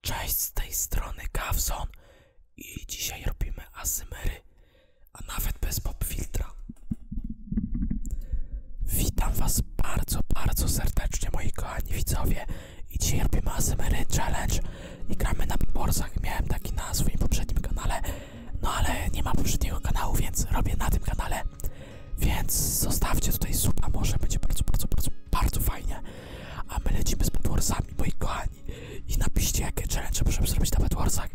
Cześć, z tej strony Gawson i dzisiaj robimy asymery, a nawet bez popfiltra. Witam was bardzo, bardzo serdecznie moi kochani widzowie i dzisiaj robimy asymery challenge i gramy na Beatboxach. Miałem taki na swoim poprzednim kanale, no ale nie ma poprzedniego kanału, więc robię na tym kanale. Więc zostawcie tutaj suba, może będzie bardzo, bardzo, bardzo, bardzo fajnie. A my lecimy z Bedwarsami, moi kochani. I napiszcie, jakie challenge możemy zrobić na Bedwarsach,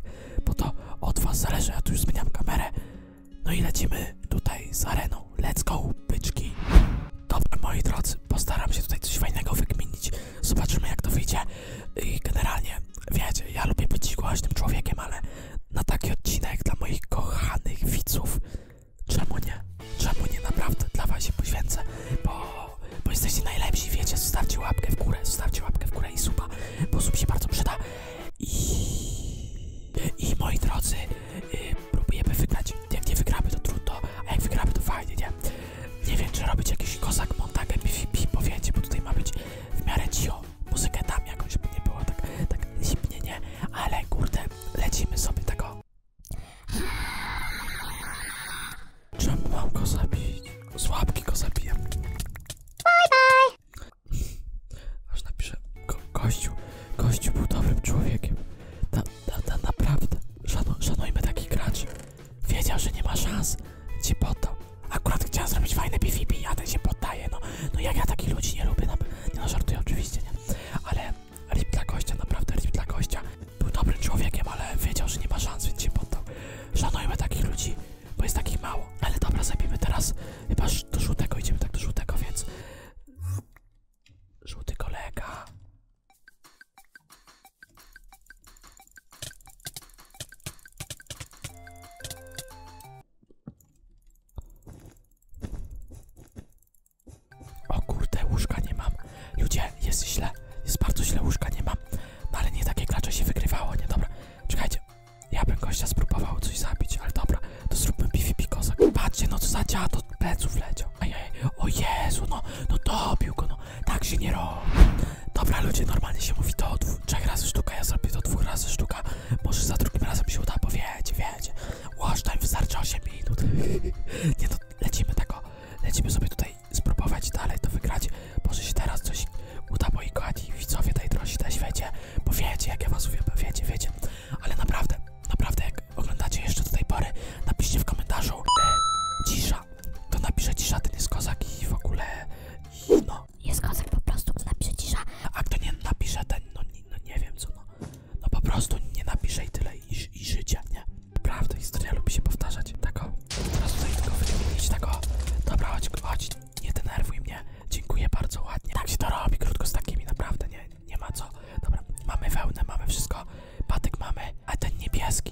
bo to od was zależy. Ja tu już zmieniam kamerę. No i lecimy tutaj z areną. Let's go, byczki. Dobra, moi drodzy, postaram się tutaj coś fajnego wykminić. Zobaczymy, jak to wyjdzie. I generalnie, wiecie, ja lubię być głośnym człowiekiem, ale na taki odcinek dla moich kochanych widzów Czemu nie? Czemu nie? Naprawdę dla was się poświęcę, bo, bo jesteście najlepsi, wiecie, zostawcie łapkę w górę, zostawcie łapkę w górę i super, bo sub się bardzo przyda. I, i moi drodzy, yy, próbujemy wygrać. Jak nie wygramy, to trudno, a jak wygramy, to fajnie, nie? Nie wiem, czy robić jakiś kozak, montak, PvP, bo wiecie, bo tutaj ma być w miarę cicho muzykę tam jakąś nie było tak, tak zimnie, nie? Ale kurde, lecimy sobie tego. Czemu mam go zabić? Z łapki go zabijam. Bye bye! Aż napiszę, ko kościół, kościół był dobrym człowiekiem. Ta, ta, ta naprawdę, Szanu, szanujmy taki gracz. Wiedział, że nie ma szans, ci poddał. Akurat chciał zrobić fajne PvP, a ten się poddaje, no. No jak ja takich ludzi nie lubię, na nie no, żartuję oczywiście, nie? Ale RIP dla gościa, naprawdę RIP dla gościa. Był dobrym człowiekiem, ale wiedział, że nie ma szans, więc się poddał. Szanujmy takich ludzi, bo jest takich mało. Ale dobra, zabijmy teraz chyba do żółtego, idziemy tak do żółtego, więc... Żółty kolega... O kurde, łóżka nie mam. Ludzie, jest źle. Jest bardzo źle, łóżka nie mam. No ale nie takie klacze się wygrywało, nie dobra. Czekajcie, ja bym gościa spróbował coś zabić, ale dobra, to zróbmy PvP kozak. Patrzcie, no co za dziado pleców leciał. Ajaj, o Jezu, no, no dobił go, no. Tak się nie robi. Dobra ludzie, normalnie się mówi to trzech razy sztuka, ja zrobię to dwóch razy sztuka. Może za drugim razem się uda, bo wiecie, wiecie. Wash time wystarczy 8 minut. Nie to no, lecimy tego. Lecimy sobie tutaj spróbować dalej to wygrać. Może się teraz coś uda, moi i widzowie tej drosi na świecie. Bo wiecie, jak ja was uwielbiam, wiecie, wiecie. Ale naprawdę, naprawdę, jak oglądacie jeszcze do tej pory, napiszcie w komentarzu e, cisza dobra, to napiszę cisza, ten jest kozak i w ogóle, no. Jest kozak po prostu, napiszę cisza. A kto nie napisze ten, no, no nie wiem co, no. no po prostu nie napisze i tyle, i, i życie, nie? Prawda, historia lubi się powtarzać, tak o. Teraz tutaj tylko wymienić, tego. Tak o. Dobra, chodź, chodź, nie denerwuj mnie. Dziękuję bardzo ładnie. Tak się to robi, krótko z takimi, naprawdę, nie, nie ma co. Dobra, mamy wełnę, mamy wszystko, patyk mamy, a ten niebieski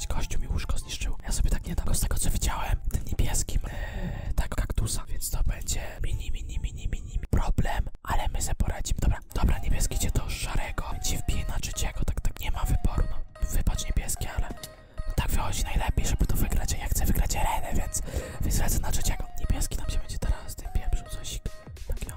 wrócić. mi łóżko zniszczył. Ja sobie tak nie Z tego co widziałem, tym niebieskim yy, tak kaktusa. Więc to będzie mini, mini, mini, mini problem. Ale my se poradzimy. Dobra, dobra, niebieski cię do szarego. Ci wbije na trzeciego. Tak, tak, nie ma wyboru. No, wybacz niebieski, ale no, tak wychodzi najlepiej, żeby to wygrać. Ja chcę wygrać arenę, więc, więc lecę na trzeciego. Niebieski nam się będzie teraz tym pieprzył coś. Tak, ja.